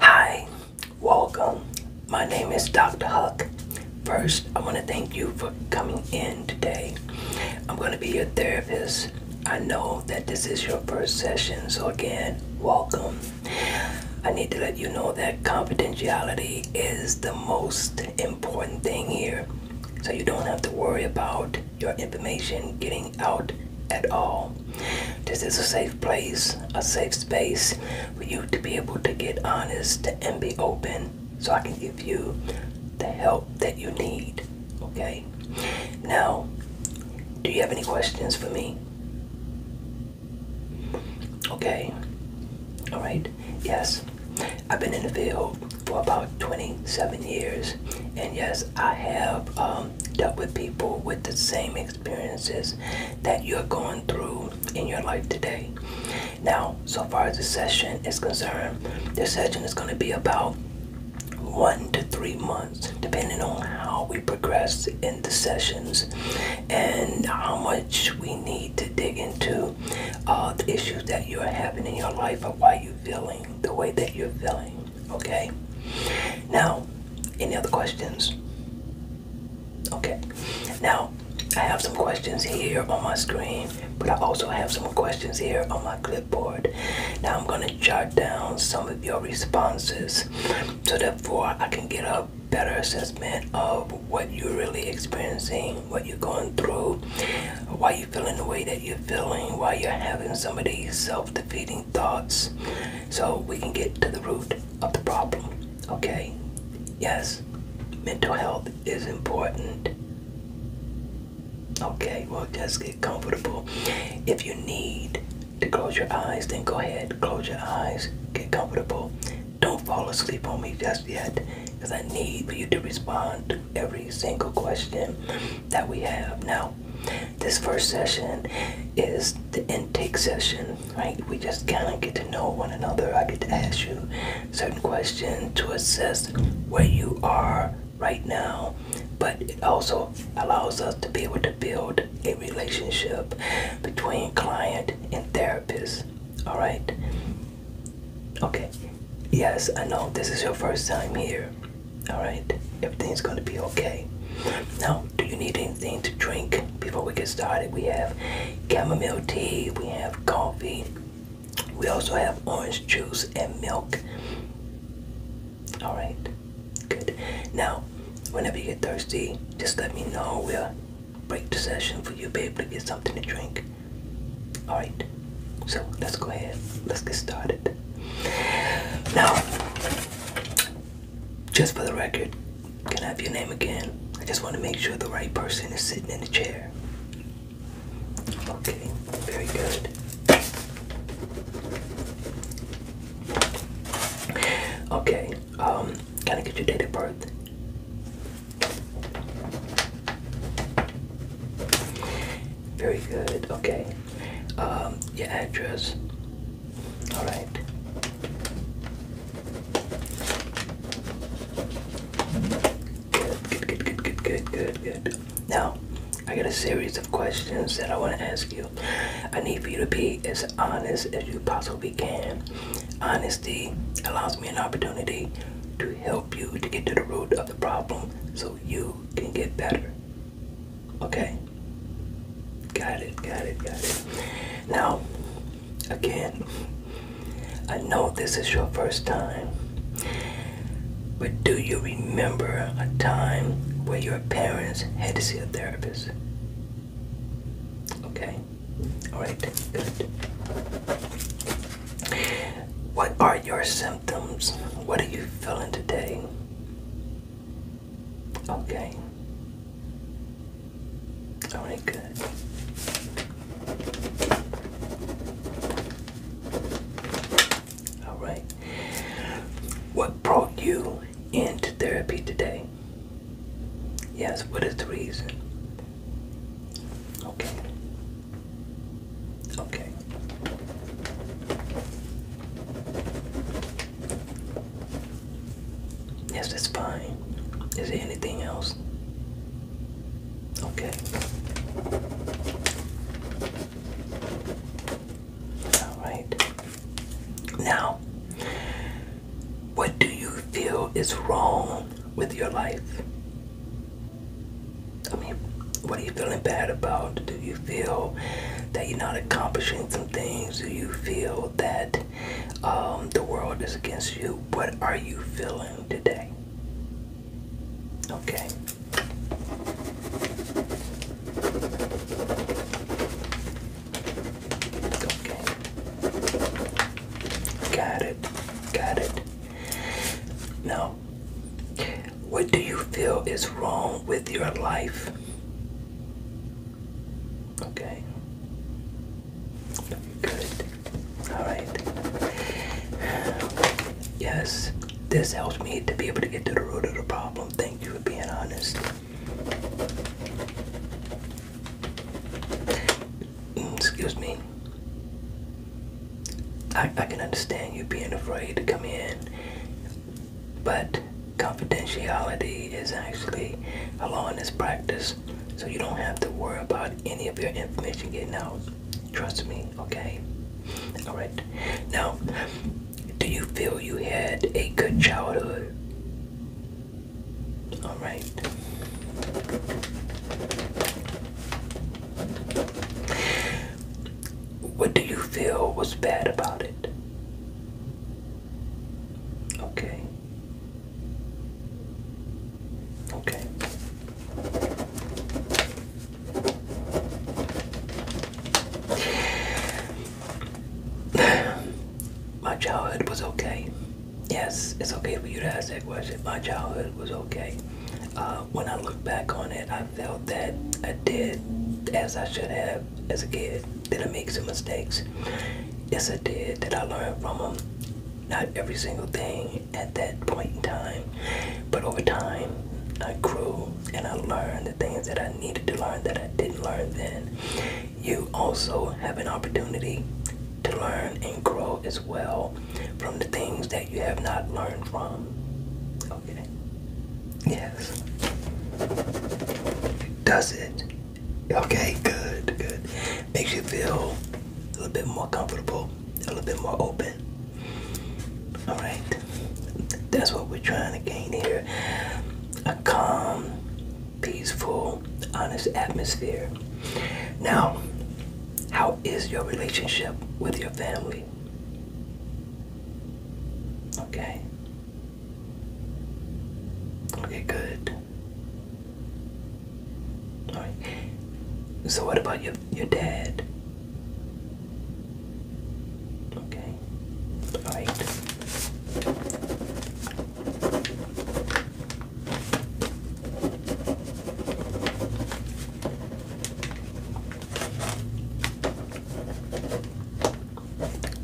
Hi, welcome. My name is Dr. Huck. First, I want to thank you for coming in today. I'm going to be your therapist. I know that this is your first session, so again, welcome. I need to let you know that confidentiality is the most important thing here, so you don't have to worry about your information getting out at all. This is a safe place, a safe space for you to be able to get honest and be open so I can give you the help that you need. Okay? Now, do you have any questions for me? Okay. All right. Yes. I've been in the field for about 27 years, and yes, I have um, dealt with people with the same experiences that you're going through in your life today. Now, so far as the session is concerned, the session is going to be about one to three months, depending on how we progress in the sessions and how much we need to dig into uh, the issues that you're having in your life or why you're feeling the way that you're feeling. Okay? Now, any other questions? Okay. Now, I have some questions here on my screen, but I also have some questions here on my clipboard. Now, I'm going to jot down some of your responses so therefore I can get a better assessment of what you're really experiencing, what you're going through, why you're feeling the way that you're feeling, why you're having some of these self defeating thoughts, so we can get to the root of the problem. Okay? Yes, mental health is important. Okay, well, just get comfortable. If you need to close your eyes, then go ahead, close your eyes, get comfortable. Don't fall asleep on me just yet, because I need for you to respond to every single question that we have. Now, this first session is the intake session, right? We just kind of get to know one another. I get to ask you certain questions to assess where you are right now, but it also allows us to be able to build a relationship between client and therapist, all right? Okay, yes, I know this is your first time here, all right? everything's going to be okay. Now, do you need anything to drink before we get started? We have chamomile tea, we have coffee, we also have orange juice and milk. All right, good. Now, whenever you get thirsty, just let me know. We'll break the session for you to be able to get something to drink. All right, so let's go ahead. Let's get started. Now, just for the record, can I have your name again? I just want to make sure the right person is sitting in the chair. Okay, very good. Okay, um, can I get your date of birth? Very good, okay. Um, your address. All right. Good, good, good, good, good, good, good. Now, I got a series of questions that I want to ask you. I need for you to be as honest as you possibly can. Honesty allows me an opportunity to help you to get to the root of the problem so you can get better. Okay. Got it, got it, got it. Now, again, I know this is your first time, but do you remember a time where your parents had to see a therapist? Okay. Alright, good. What are your symptoms? What are you feeling today? Okay. All right, good. All right. What brought you into therapy today? Yes, what is the reason? Okay. Okay. Yes, that's fine. Is there anything else? Okay. All right. Now, what do you feel is wrong with your life? I mean, what are you feeling bad about? Do you feel that you're not accomplishing some things? Do you feel that um, the world is against you. What are you feeling today? Okay. Okay. Got it. Got it. Now, what do you feel is wrong with your life? Okay. Good. Alright. Yes, this helps me to be able to get to the root of the problem. Thank you for being honest. Mm, excuse me. I, I can understand you being afraid to come in. But confidentiality is actually a law in this practice so you don't have to worry about any of your information getting out. Trust me, okay? Alright. Now, do you feel you had a good childhood? Alright. What do you feel was bad about it? Okay. Okay. My childhood was okay. Yes, it's okay for you to ask that question. My childhood was okay. Uh, when I look back on it, I felt that I did as I should have as a kid. Did I make some mistakes? Yes, I did. Did I learn from them? Not every single thing at that point in time, but over time, I grew and I learned the things that I needed to learn that I didn't learn then. You also have an opportunity to learn and grow as well from the things that you have not learned from. Okay. Yes. Does it Okay, good, good. Makes you feel a little bit more comfortable, a little bit more open. All right, that's what we're trying to gain here a calm, peaceful, honest atmosphere. Now, how is your relationship with your family? Okay, Okay, good. Alright. So what about your your dad? Okay. Alright.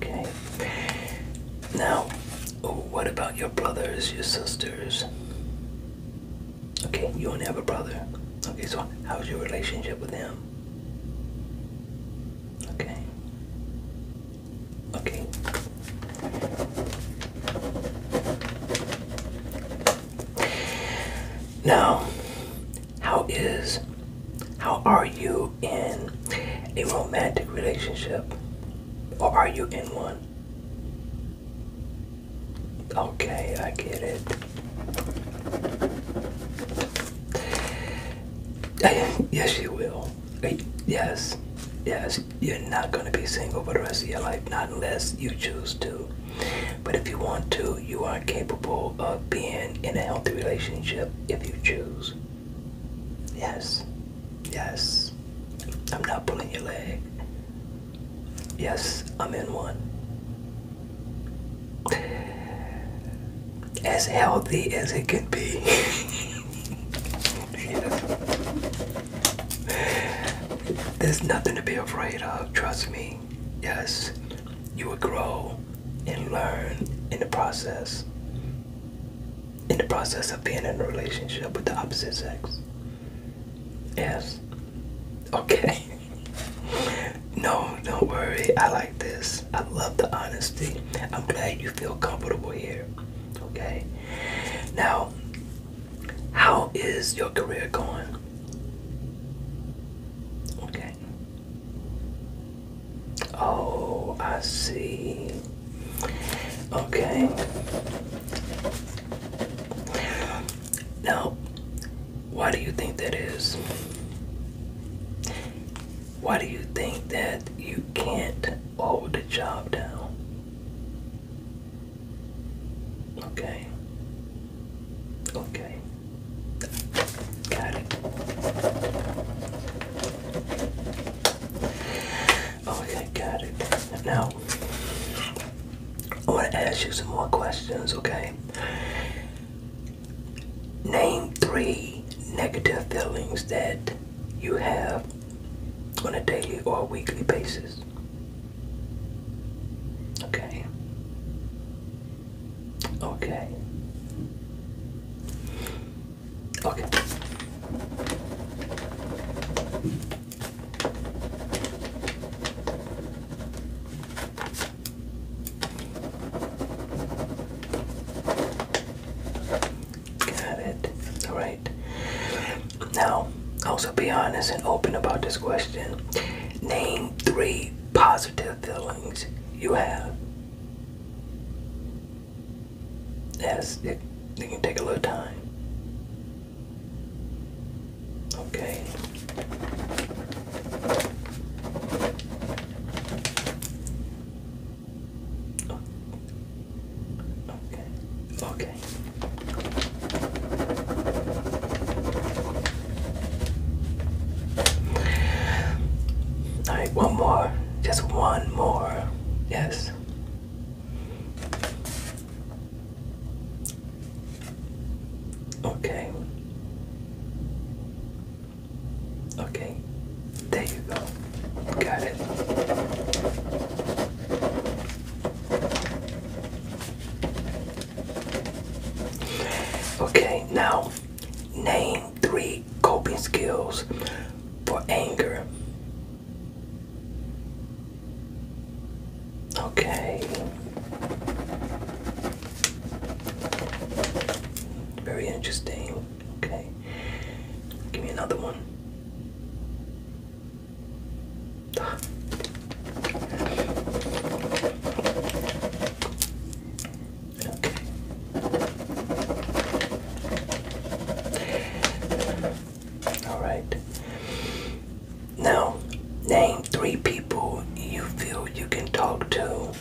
Okay. Now, what about your brothers, your sisters? Okay, you only have a brother. Okay, so how's your relationship with him? Okay. Okay. Now, how is, how are you in a romantic relationship or are you in one? Okay, I get it. yes, you will. Uh, yes, yes, you're not going to be single for the rest of your life, not unless you choose to. But if you want to, you are capable of being in a healthy relationship if you choose. Yes. Yes. I'm not pulling your leg. Yes, I'm in one. As healthy as it can be. There's nothing to be afraid of, trust me. Yes, you will grow and learn in the process. In the process of being in a relationship with the opposite sex. Yes. Okay. no, don't worry. I like this. I love the honesty. I'm glad you feel comfortable here. Okay. Now, how is your career going? Okay. Oh, I see. Okay. Now, why do you think that is? Why do you think that you can't hold the job down? Okay. Okay. Got it. Okay, oh, got it. Now, i want to ask you some more questions, okay? Name three negative feelings that you have on a daily or weekly basis. Okay. Okay. Okay. Got it. All right. Now, also be honest and open about this question. Name three positive feelings you have. Yes, it, it can take a little time. Okay. Okay. Okay. All right, one more. Just one more. Yes. Okay. Okay. There you go. Got it. Okay, now name three coping skills for anger. Okay. Very interesting. Okay. Give me another one. All right. Now, name three people you feel you can talk to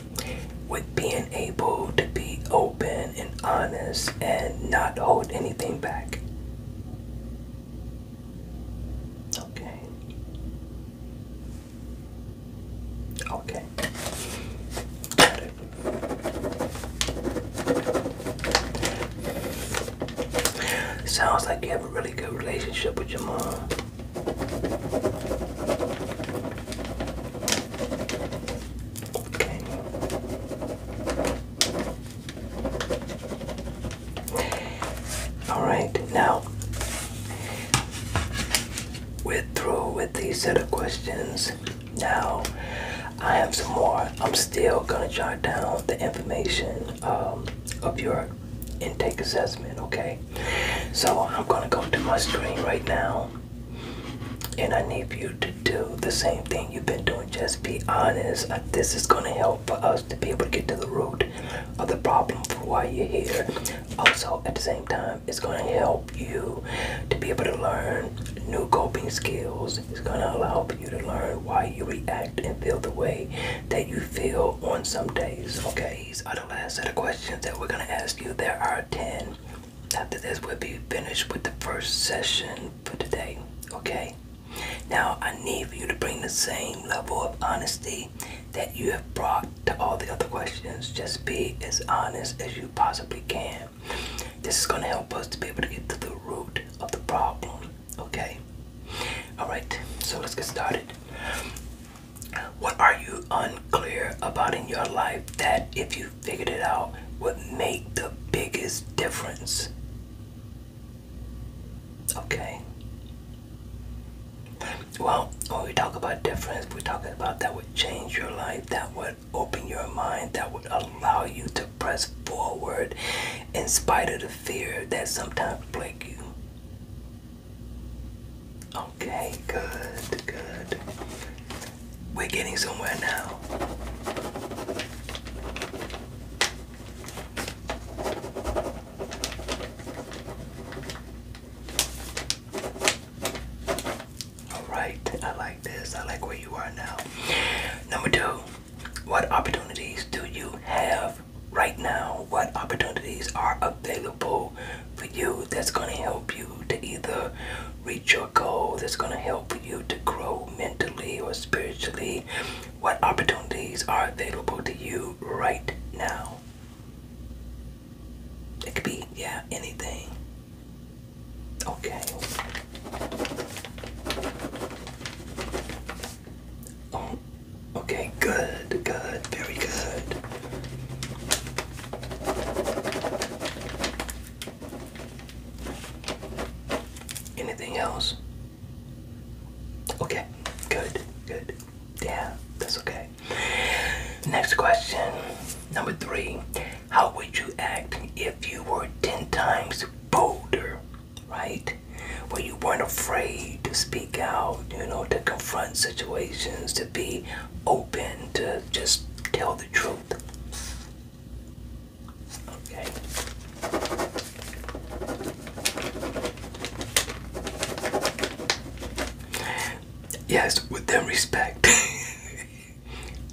with being able to be open and honest and not hold anything back. Okay. Okay. Sounds like you have a really good relationship with your mom. Okay. All right, now we're through with the set of questions. Now, I have some more. I'm still gonna jot down the information um, of your intake assessment, okay? So I'm gonna go to my screen right now, and I need you to do the same thing you've been doing. Just be honest. Uh, this is gonna help for us to be able to get to the root of the problem for why you're here. Also, at the same time, it's gonna help you to be able to learn new coping skills. It's going to allow you to learn why you react and feel the way that you feel on some days. Okay, these are the last set of questions that we're going to ask you. There are 10. After this, we'll be finished with the first session for today. Okay? Now, I need for you to bring the same level of honesty that you have brought to all the other questions. Just be as honest as you possibly can. This is going to help us to be able to get to the root of the problem. Okay? Alright, so let's get started. What are you unclear about in your life that, if you figured it out, would make the biggest difference? Okay. Well, when we talk about difference, we're talking about that would change your life, that would open your mind, that would allow you to press forward in spite of the fear that sometimes plague you. Okay, good, good. We're getting somewhere now. All right, I like this. I like where you are now. Number two, what opportunities do you have right now? What opportunities are available for you that's going to help you to either reach your goal, that's going to help you to grow mentally or spiritually? What opportunities are available to you right now? It could be, yeah, anything. Okay. Oh, okay, good, good, very good. Anything else? Okay, good, good. Yeah, that's okay. Next question, number three. How would you act if you were 10 times bolder, right? Where you weren't afraid to speak out, you know, to confront situations, to be open, to just tell the truth. Okay. Yes, with them respect.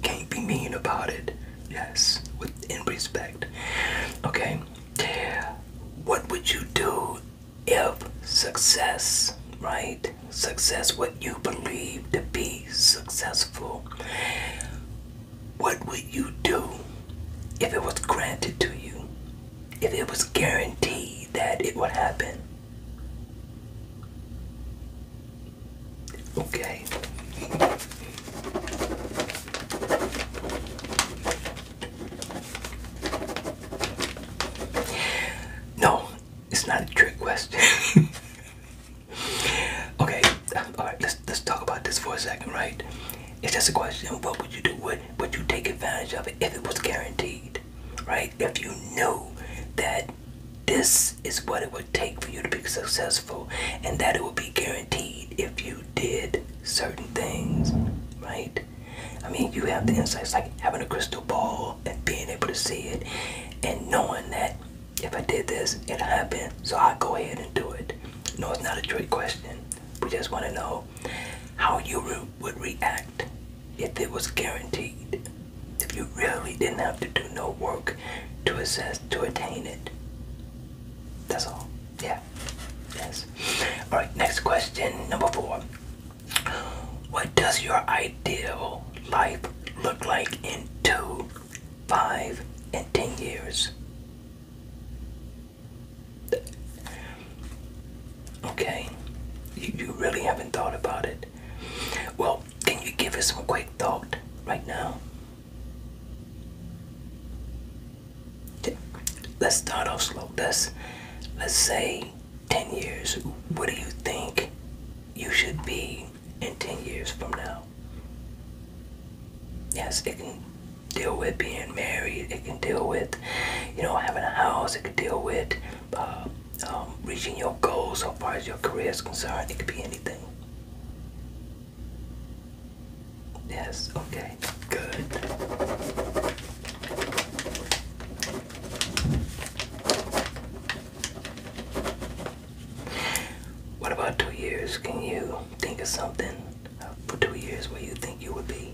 Can't be mean about it. Yes, with in respect. Okay. What would you do if success, right? Success, what you believe to be successful. What would you do if it was granted to you? If it was guaranteed that it would happen? Okay. No, it's not a trick question. okay, all right. Let's let's talk about this for a second, right? It's just a question. What would you do? Would would you take advantage of it if it was guaranteed, right? if you knew that this is what it would take for you to be successful and that it would be guaranteed if you did certain things, right? I mean, you have the insights like having a crystal ball and being able to see it and knowing that if I did this, it happened, so I go ahead and do it. No, it's not a trick question. We just want to know how you re would react if it was guaranteed. You really didn't have to do no work to assess to attain it. That's all. Yeah. Yes. All right. Next question, number four. What does your ideal life look like in two, five, and ten years? Okay. You, you really haven't thought about it. Well, can you give us some quick thought right now? Let's start off slow. Let's let's say ten years. What do you think you should be in ten years from now? Yes, it can deal with being married. It can deal with, you know, having a house. It can deal with uh, um, reaching your goals so far as your career is concerned. It could be anything. Yes, okay, good. What about two years? Can you think of something for two years where you think you would be?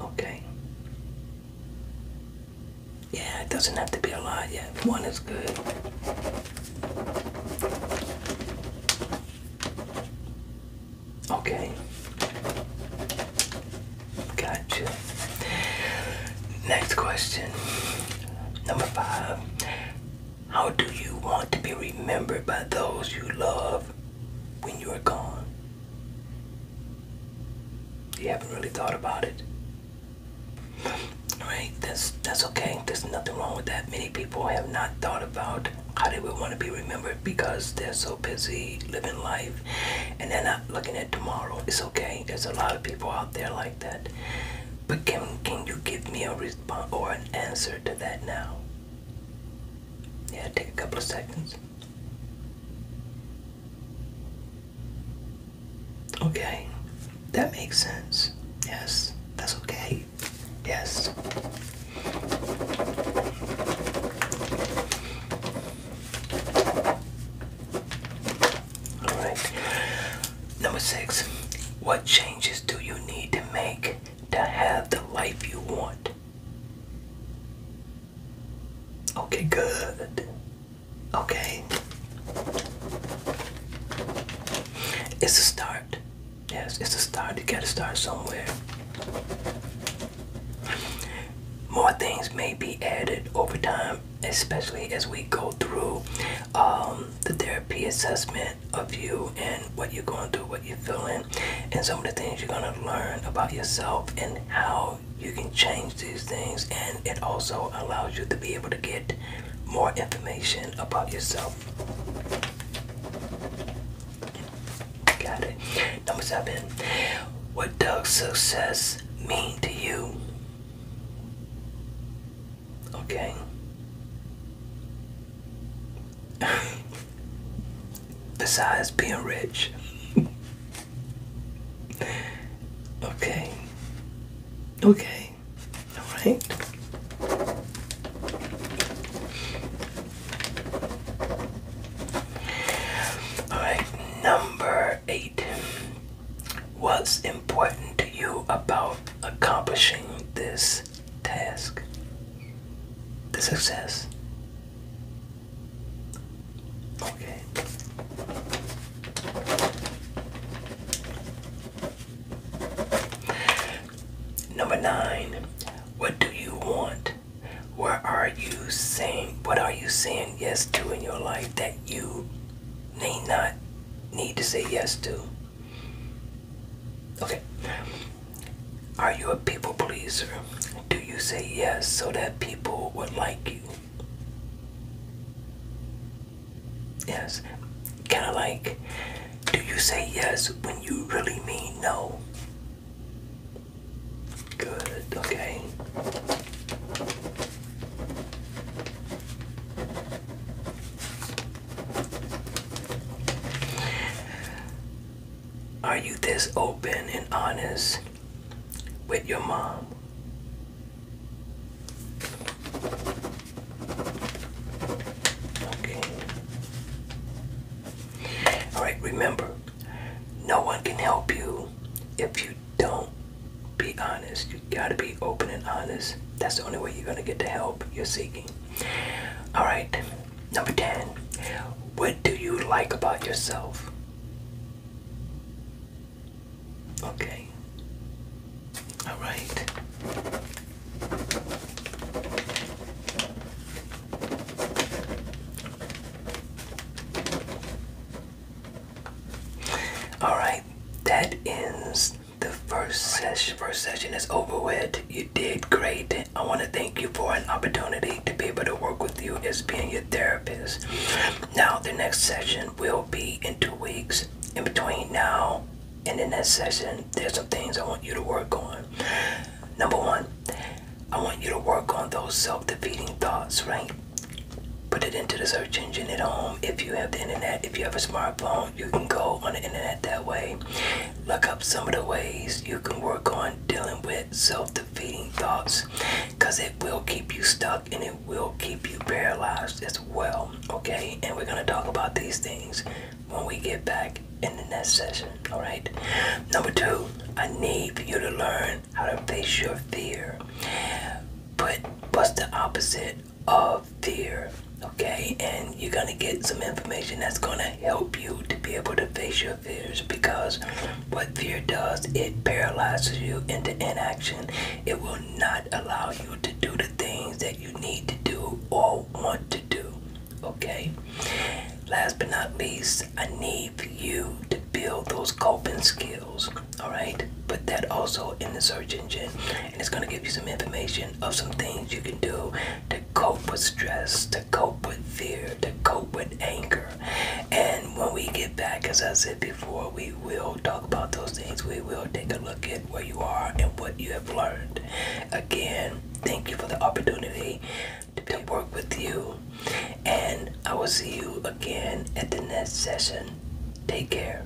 Okay. Yeah, it doesn't have to be a lot yet. One is good. Okay. Gotcha. Next question. Number five. How do you want to be remembered by those you love when you are gone? You haven't really thought about it. Right? That's that's okay. There's nothing wrong with that. Many people have not thought about how they would want to be remembered because they're so busy living life and they're not looking at tomorrow. It's okay. There's a lot of people out there like that. But can can you give me a response or an answer to that now? Yeah, take a couple of seconds. Okay, that makes sense. Yes, that's okay. Yes. Alright. Number six. What changes do you need to make to have the life you want? Okay, good. Okay. It's a start. Yes, it's a start. You gotta start somewhere. More things may be added over time, especially as we go through um, the therapy assessment of you and what you're going through, what you're feeling, and some of the things you're gonna learn about yourself and how you can change these things and it also allows you to be able to get more information about yourself got it number seven what does success mean to you okay besides being rich okay. Okay. All right. All right. Number eight. What's important to you about accomplishing this task? The success. Okay. Number nine. What do you want? What are you saying? What are you saying yes to in your life that you may not need to say yes to? Okay. Are you a people pleaser? Do you say yes so that people would like you? Yes. Kind of like, do you say yes when you really mean no? Good, okay. Are you this open and honest with your mom. Okay. Alright, remember, no one can help you if you don't be honest. You gotta be open and honest. That's the only way you're gonna get the help you're seeking. Alright, number 10. What do you like about yourself? Okay. All right. All right. That ends the first session. First session is over with. You did great. I want to thank you for an opportunity to be able to work with you as being your therapist. Now, the next session will be in two weeks. In between now and the next session, there's some things I want you to work on. Number one, I want you to work on those self defeating thoughts, right? Put it into the search engine at home. If you have the internet, if you have a smartphone, you can go on the internet that way. Look up some of the ways you can work on dealing with self defeating thoughts because it will keep you stuck and it will keep you paralyzed as well. Okay, and we're gonna talk about these things when we get back in the next session. All right, number two, I need for you to learn how to face your fear. But what's the opposite of fear? Okay, and you're gonna get some information that's gonna help you to be able to face your fears because what fear does, it paralyzes you into inaction. It will not allow you to do the things that you need to do or want to do. Okay? Last but not least, I need for you to build those coping skills. Alright? Put that also in the search engine. And it's going to give you some information of some things you can do to cope with stress, to cope with fear, to cope with anger. And when we get back, as I said before, we will talk about those things. We will take a look at where you are and what you have learned. Again, thank you for the opportunity to work with you. And I will see you again at the next session. Take care.